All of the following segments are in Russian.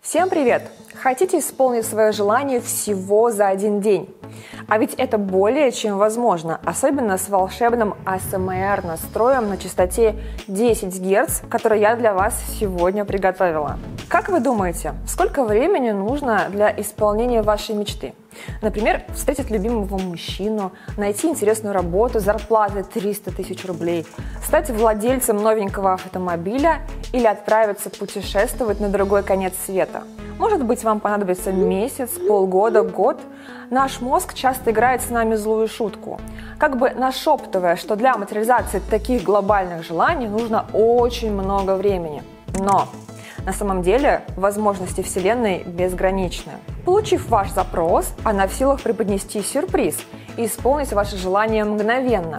Всем привет! Хотите исполнить свое желание всего за один день? А ведь это более чем возможно, особенно с волшебным ASMR настроем на частоте 10 Гц, который я для вас сегодня приготовила. Как вы думаете, сколько времени нужно для исполнения вашей мечты? Например, встретить любимого мужчину, найти интересную работу, зарплаты 300 тысяч рублей, рублей, стать владельцем новенького автомобиля или отправиться путешествовать на другой конец света. Может быть, вам понадобится месяц, полгода, год. Наш мозг часто играет с нами злую шутку, как бы нашептывая, что для материализации таких глобальных желаний нужно очень много времени. Но на самом деле возможности Вселенной безграничны. Получив ваш запрос, она в силах преподнести сюрприз и исполнить ваше желание мгновенно,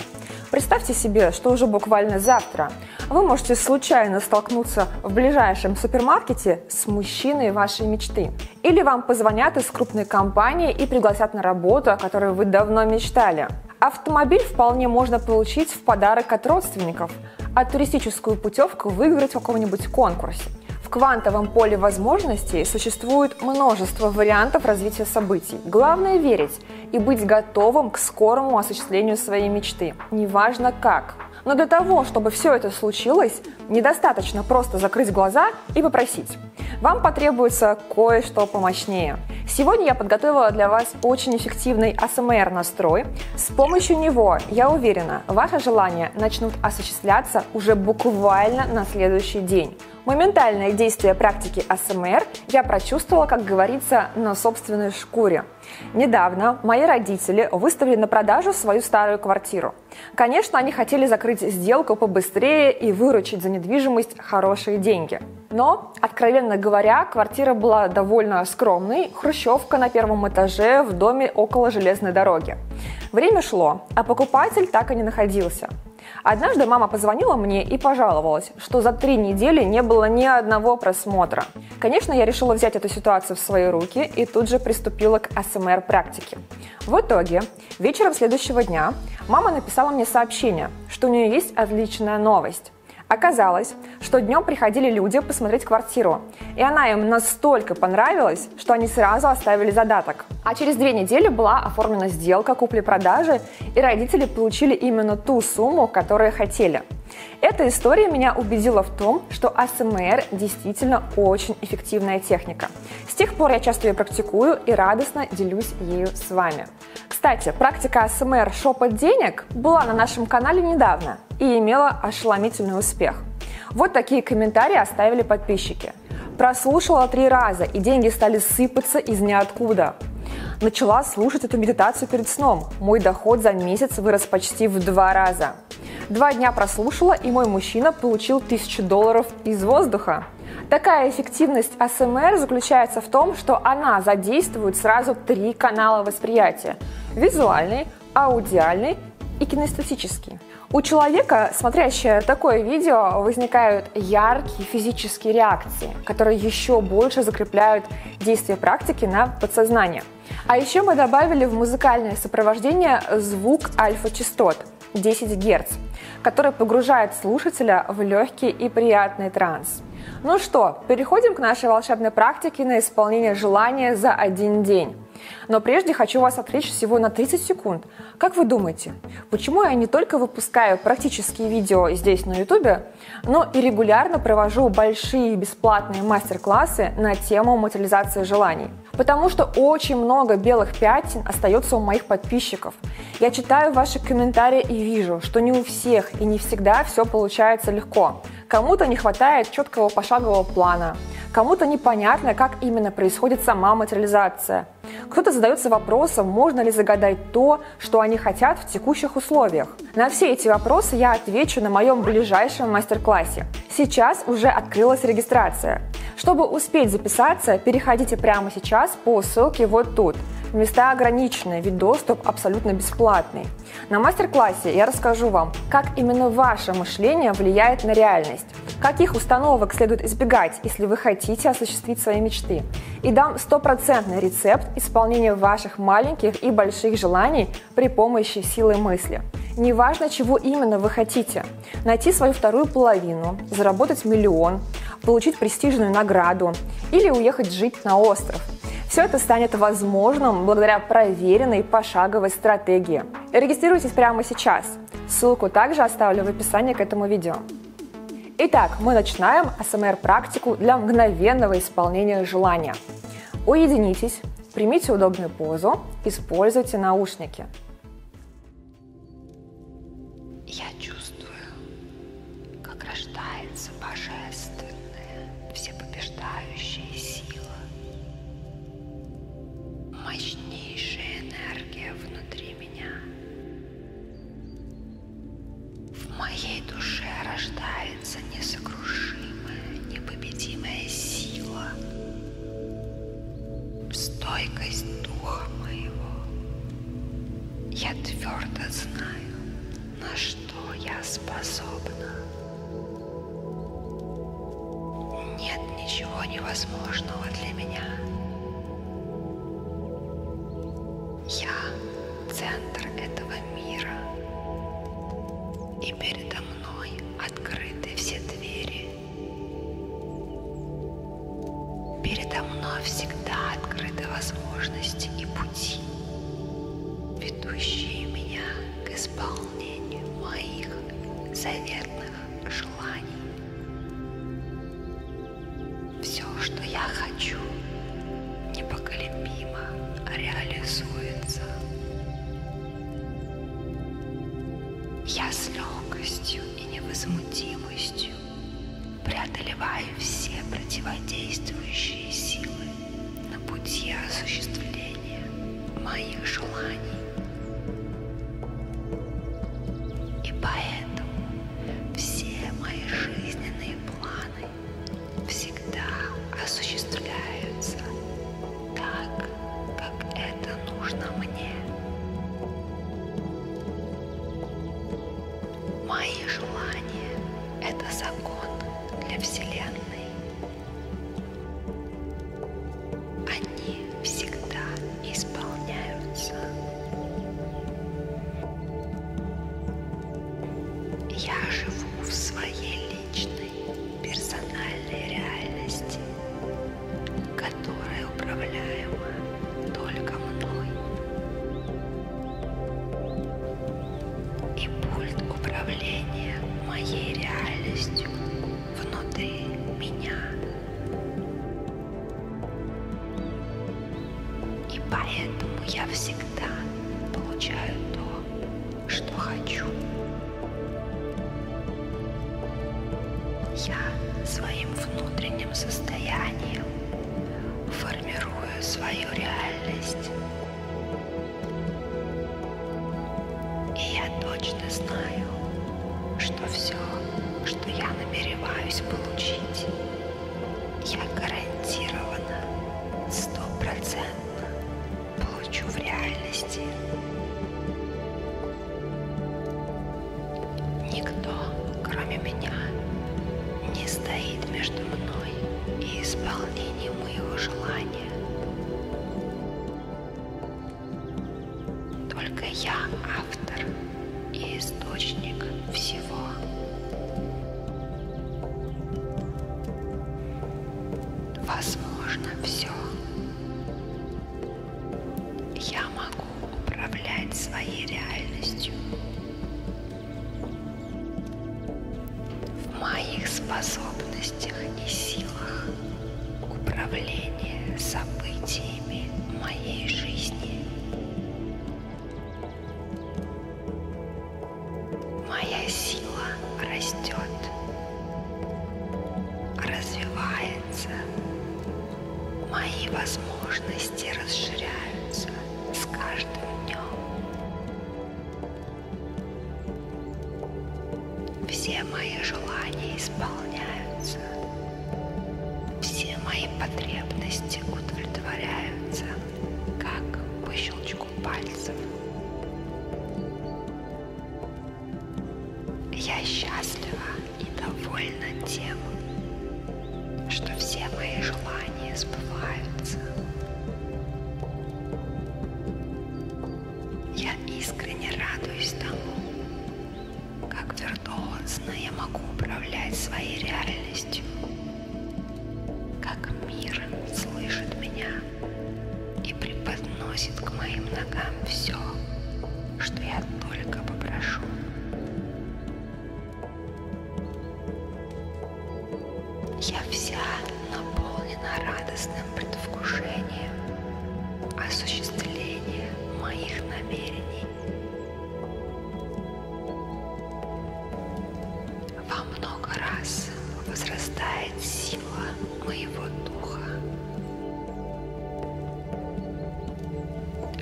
Представьте себе, что уже буквально завтра вы можете случайно столкнуться в ближайшем супермаркете с мужчиной вашей мечты. Или вам позвонят из крупной компании и пригласят на работу, о которой вы давно мечтали. Автомобиль вполне можно получить в подарок от родственников, а туристическую путевку выиграть в каком-нибудь конкурсе. В квантовом поле возможностей существует множество вариантов развития событий событий. Главное верить и быть готовым к скорому осуществлению своей мечты. Неважно как. Но для того, чтобы все это случилось, недостаточно просто закрыть глаза и попросить. Вам потребуется кое-что помощнее. Сегодня я подготовила для вас очень эффективный АСМР-настрой. С помощью него, я уверена, ваши желания начнут осуществляться уже буквально на следующий день. Моментальное действие практики АСМР я прочувствовала, как говорится, на собственной шкуре. Недавно мои родители выставили на продажу свою старую квартиру. Конечно, они хотели закрыть сделку побыстрее и выручить за недвижимость хорошие деньги. Но, откровенно говоря, квартира была довольно скромной, хрущевка на первом этаже в доме около железной дороги. Время шло, а покупатель так и не находился. Однажды мама позвонила мне и пожаловалась, что за три недели не было ни одного просмотра. Конечно, я решила взять эту ситуацию в свои руки и тут же приступила к СМР-практике. В итоге, вечером следующего дня мама написала мне сообщение, что у нее есть отличная новость. Оказалось, что днем приходили люди посмотреть квартиру, и она им настолько понравилась, что они сразу оставили задаток. А через две недели была оформлена сделка купли-продажи, и родители получили именно ту сумму, которую хотели. Эта история меня убедила в том, что АСМР действительно очень эффективная техника. С тех пор я часто ее практикую и радостно делюсь ею с вами. Кстати, практика АСМР шепот денег была на нашем канале недавно и имела ошеломительный успех. Вот такие комментарии оставили подписчики задача. Прослушала три раза, и деньги стали сыпаться из ниоткуда. Начала слушать эту медитацию перед сном. Мой доход за месяц вырос почти в два раза. Два дня прослушала, и мой мужчина получил тысячу долларов из воздуха. Такая эффективность АСМР заключается в том, что она задействует сразу три канала восприятия – визуальный, аудиальный и кинестетический. У человека, смотрящего такое видео, возникают вызывают яркие физические реакции, которые еще больше закрепляют действие практики на подсознание. А еще мы добавили в музыкальное сопровождение звук альфа-частот 10 Гц, который погружает слушателя в легкий и приятный транс. Ну что, переходим к нашей волшебной практике на исполнение желания за один день. Но прежде хочу вас отвлечь всего на 30 секунд вот. Как вы думаете, почему я не только выпускаю практические видео здесь на YouTube, но и регулярно провожу большие бесплатные мастер-классы на тему материализации желаний? Потому что очень много белых пятен остается у моих подписчиков. Я читаю ваши комментарии и вижу, что не у всех и не всегда все получается легко. Кому-то не хватает четкого пошагового плана, кому-то непонятно, как именно происходит сама материализация, года. Кто-то задается вопросом, можно ли загадать то, что они хотят в текущих условиях. На все эти вопросы я отвечу на моем ближайшем мастер-классе. Сейчас уже открылась регистрация. Чтобы успеть записаться, переходите прямо сейчас по ссылке вот тут. Места ограничены, ведь доступ абсолютно бесплатный. На мастер-классе я расскажу вам, как именно ваше мышление влияет на реальность реальность, каких установок следует избегать, если вы хотите осуществить свои мечты. И дам стопроцентный рецепт исполнения ваших маленьких и больших желаний при помощи силы мысли. Неважно, чего именно вы хотите. Найти свою вторую половину, заработать миллион, получить престижную награду или уехать жить на остров. Все это станет возможным благодаря проверенной пошаговой стратегии. Регистрируйтесь прямо сейчас раз. Ссылку также оставлю в описании к этому видео. Итак, мы начинаем АСМР-практику для мгновенного исполнения желания. Уединитесь, примите удобную позу, используйте наушники. Я чувствую, как рождается божественная, всепобеждающая сила, мощнейшая энергия внутри меня меня. В моей душе рождается несокрушимая, непобедимая сила, стойкость духа моего. Я твердо знаю, на что я способна. Нет ничего невозможного для меня. Я центр этого мира, и передо мной открыты все двери. Передо мной всегда открыты возможности и пути, ведущие меня к исполнению моих заветных желаний желаний. Все, что я хочу, непоколебимо реализуется. Я с легкостью и невозмутимостью преодолеваю все противодействующие силы на пути осуществления моих желаний. И поэтому все мои жизненные планы всегда осуществляются так, как это нужно мне. Мои желания — это закон для Вселенной они всегда исполняются. Я живу в своей личной персональной реальности, которая управляема только мной. И пульт управления моей реальностью внутри меня. И поэтому я всегда получаю то, что хочу. Я своим внутренним состоянием формирую свою реальность. И я точно знаю, что все, что я намереваюсь получить, я гарантированно, стопроцентно получу в реальности. Никто, кроме меня, не стоит между мной и исполнением моего желания. Только я автор и источник всего. Возможно все. Я могу управлять своей реальностью. В моих способностях и силах управление событиями моей жизни. Моя сила растет, развивается, мои возможности расширяются с каждым днем. Все мои желания исполняются. Все мои потребности удовлетворяются, как по щелчку пальцев. Я счастлива и довольна тем, что все мои желания сбываются. Я искренне радуюсь тому, как виртуозно я могу управлять своей реальностью. Как мир слышит меня и преподносит к моим ногам все, что я только попрошу. Я вся наполнена радостным предвкушением осуществление моих намерений. Во много раз возрастает сила моего духа.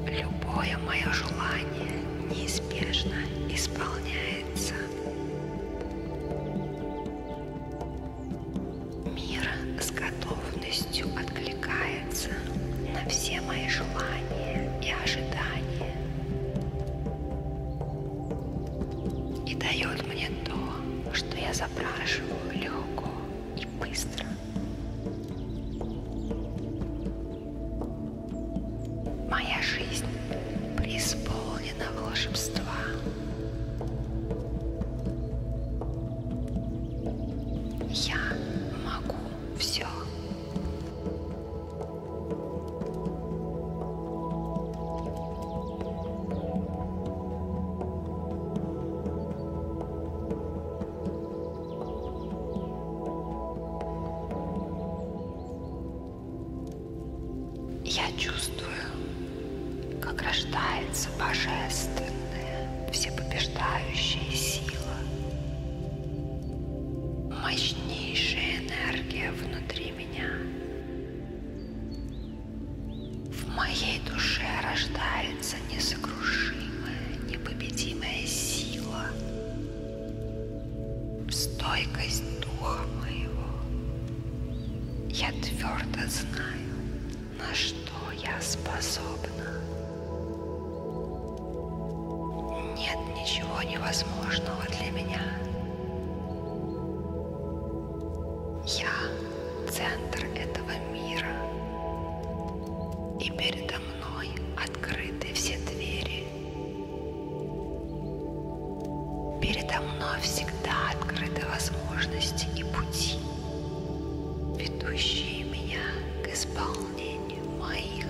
Любое мое желание неизбежно исполняется. Мир с готовностью откликается на все мои желания и ожидания и дает мне то, что я запрашиваю легко и быстро. Моя жизнь преисполнена волшебства. Я могу все. Я чувствую как рождается божественная, всепобеждающая сила, мощнейшая энергия внутри меня. В моей душе рождается несокрушимая, непобедимая сила, стойкость духа моего. Я твердо знаю, на что я способна. Нет ничего невозможного для меня. Я центр этого мира, и передо мной открыты все двери. Передо мной всегда открыты возможности и пути ведущие меня к исполнению моих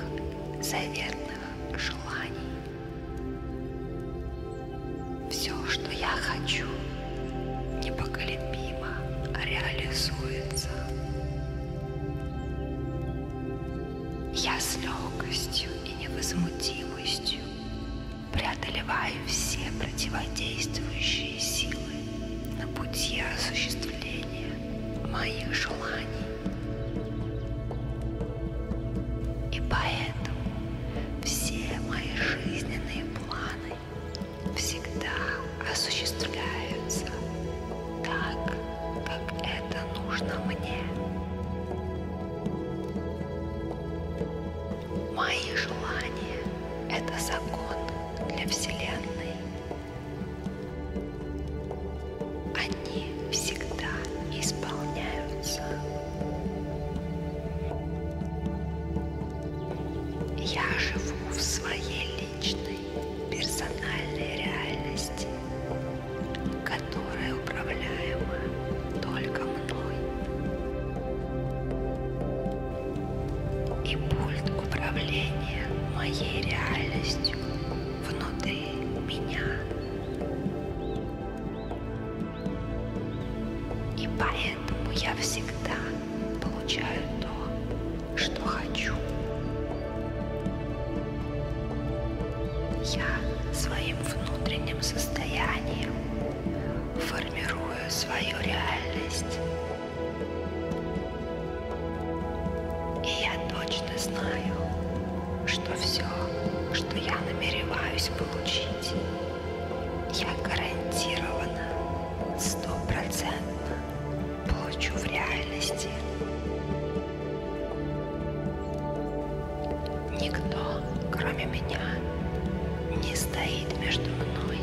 заветных желаний. Все, что я хочу, непоколебимо реализуется. Я с легкостью и невозмутимостью преодолеваю все противодействующие силы на пути осуществления моих желаний. И поэтому все мои жизненные планы всегда осуществляются так, как это нужно мне. Мои желания – это закон для Вселенной. Они всегда исполняются. Я живу в своей личной, персональной реальности, которая управляема только мной и пульт управления моей реальностью внутри меня. И поэтому я всегда получаю то, что хочу. Я своим внутренним состоянием формирую свою реальность. И я точно знаю, что все, что я намереваюсь получить, я гарантированно, стопроцентно получу в реальности. Никто, кроме меня, не стоит между мной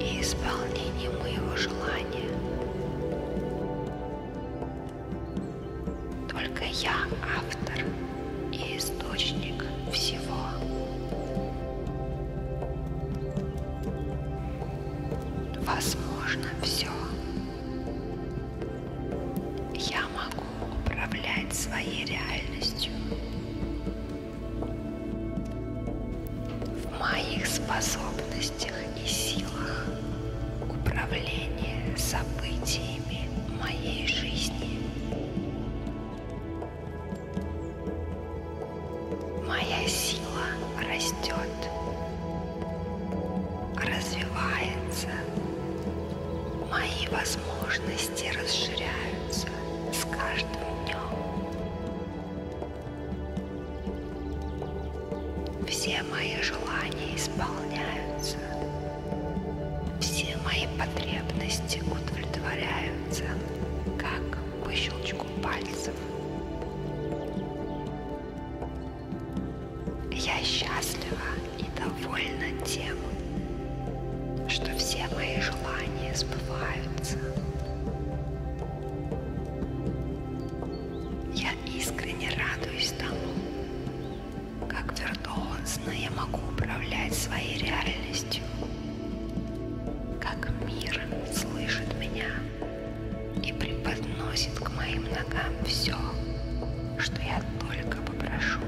и исполнением моего желания. Только я автор и источник всего. Возможно все. Я могу управлять своей реальностью. В моих способностях и силах управление событиями моей жизни. Моя сила растет, развивается, мои возможности расширяются становится с каждым днем. Все мои желания исполняются. Все мои потребности удовлетворяются, как по щелчку пальцев. Я счастлива и довольна тем, что все мои желания сбываются. Я искренне радуюсь тому, как виртуозно я могу управлять своей реальностью, как мир слышит меня и преподносит к моим ногам все, что я только попрошу.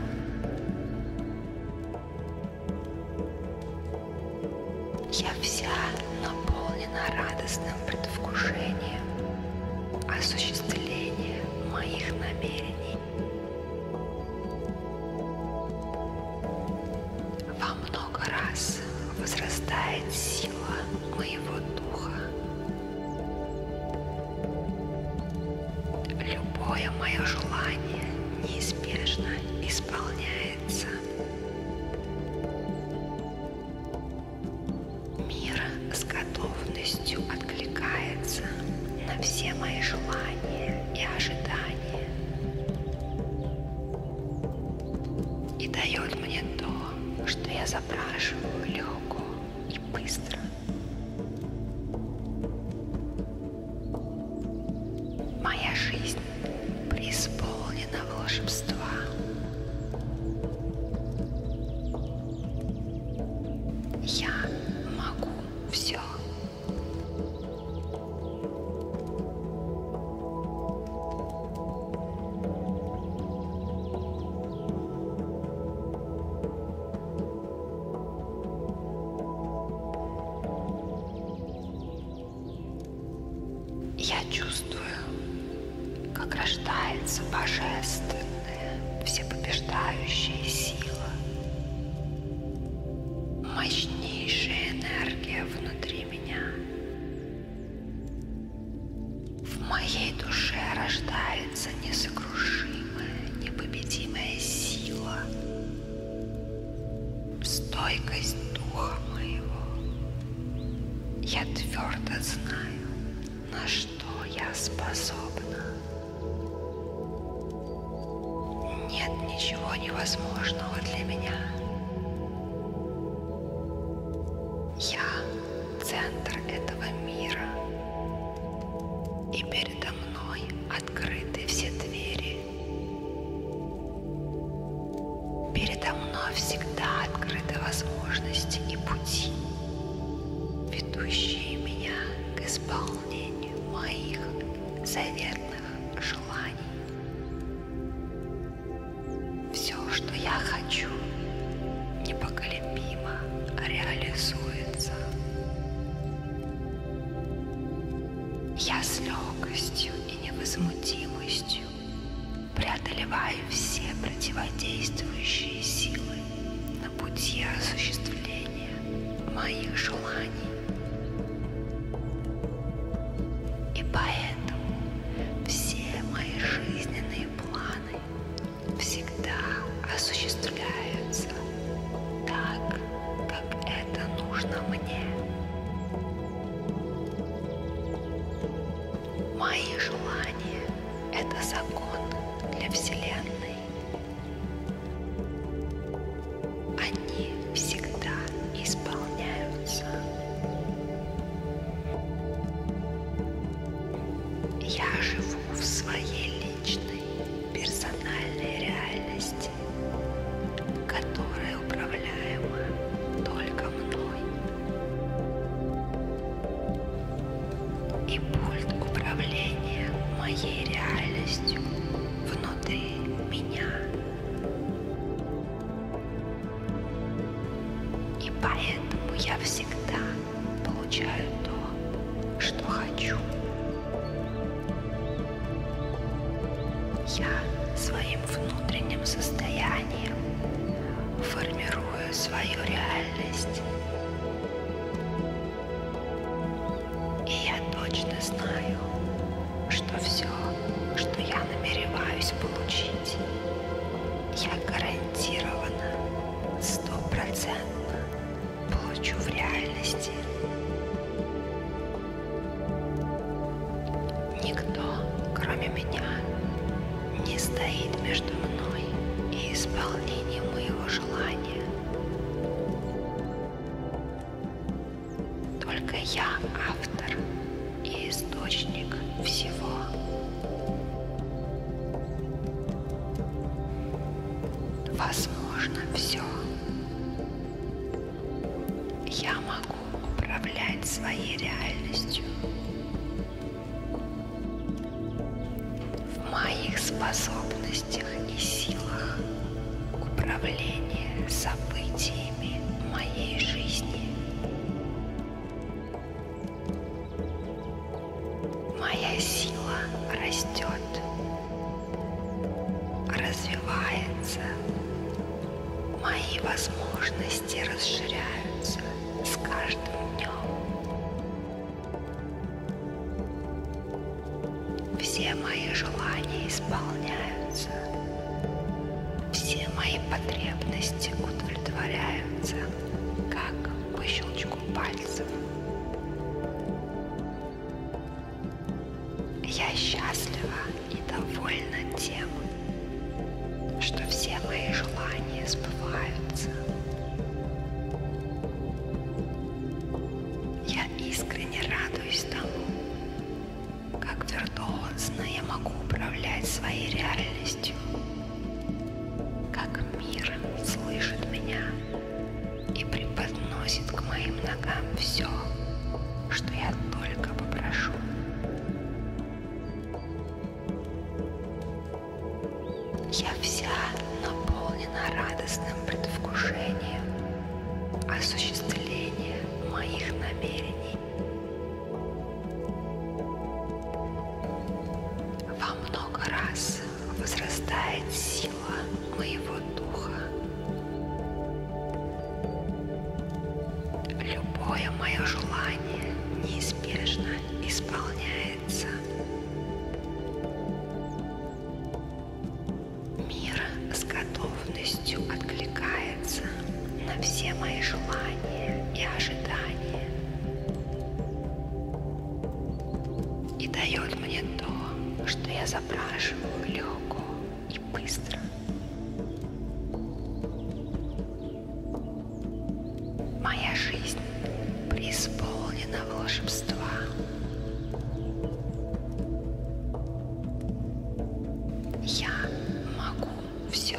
Я вся наполнена радостным предвкушением осуществления моих намерений. Во много раз возрастает сила моего духа. Любое мое желание неизбежно и исполняется. Мир с готовностью откликается на все мои желания и ожидания и дает мне то, что я запрашиваю легко и быстро. Моя жизнь преисполнена волшебства. Я могу все. Я чувствую, как рождается божественная, всепобеждающая сила, мощнейшая энергия внутри меня. В моей душе рождается несокрушимая, непобедимая сила, стойкость духа моего. Я твердо знаю, на что я способна. Нет ничего невозможного для меня. Я центр этого мира. И передо мной открыты все двери Передо мной всегда открыты возможности и пути, ведущие меня к исполнению моих заветных желаний. Все, что я хочу, непоколебимо реализуется. Я с легкостью и невозмутимостью преодолеваю все противодействующие силы на пути осуществления моих желаний. И поэтому все мои жизненные планы всегда осуществляются сердце так, как это нужно мне. Мои желания — это закон для Вселенной. Они всегда исполняются. Я живу в своей личной персональной реальности власть, которая управляема только мной. И пульт управления моей реальностью внутри меня. И поэтому я всегда получаю то, что хочу. Я своим внутренним состоянием формирую свою реальность. И я точно знаю, что все, что я намереваюсь получить, я гарантированно, стопроцентно получу в реальности. Никто, кроме меня, не стоит между мной и исполнением моего желания. Только я автор и источник всего. Возможно, все. Я могу управлять своей реальностью. В моих способностях и силах управление событиями моей жизни. Моя сила растет развивается, мои возможности расширяются с каждым днем. Все мои желания исполняются, все мои потребности удовлетворяются, как по щелчку пальцев. Я счастлива и довольна тем, что все мои желания сбываются. Я искренне радуюсь тому, как виртуозно я могу управлять своей реальностью, как мир слышит меня и преподносит к моим ногам все, что я только попрошу. Я вся наполнена радостным предвкушением осуществления моих намерений. Во много раз возрастает сила моего духа. Любое мое желание неизбежно исполняется. Мир с готовностью откликается на все мои желания и ожидания и дает мне то, что я запрашиваю легко и быстро. Моя жизнь преисполнена волшебства. Я могу все.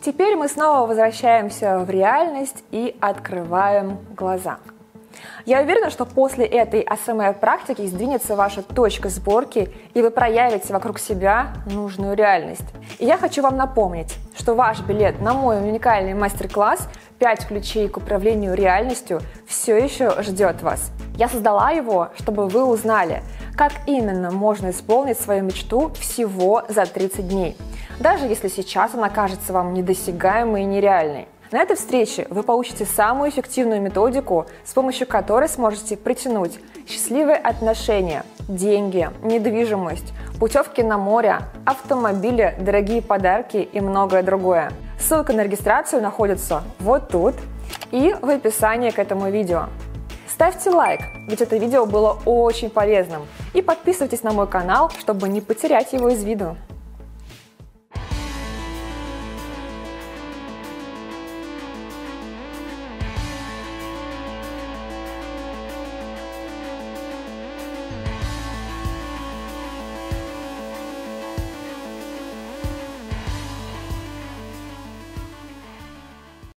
Теперь мы снова возвращаемся в реальность и открываем глаза. Я уверена, что после этой АСМР-практики сдвинется ваша точка сборки, и вы проявите вокруг себя нужную реальность. И я хочу вам напомнить, что ваш билет на мой уникальный мастер-класс «5 ключей к управлению реальностью» все еще ждет вас. Я создала его, чтобы вы узнали, как именно можно исполнить свою мечту всего за 30 дней, даже если сейчас она кажется вам недосягаемой и нереальной. На этой встрече вы получите самую эффективную методику, с помощью которой сможете притянуть счастливые отношения, деньги, недвижимость, путевки на море, автомобили, дорогие подарки и многое другое. Ссылка на регистрацию находится вот тут и в описании к этому видео. Ставьте лайк, ведь это видео было очень полезным. И подписывайтесь на мой канал, чтобы не потерять его из виду.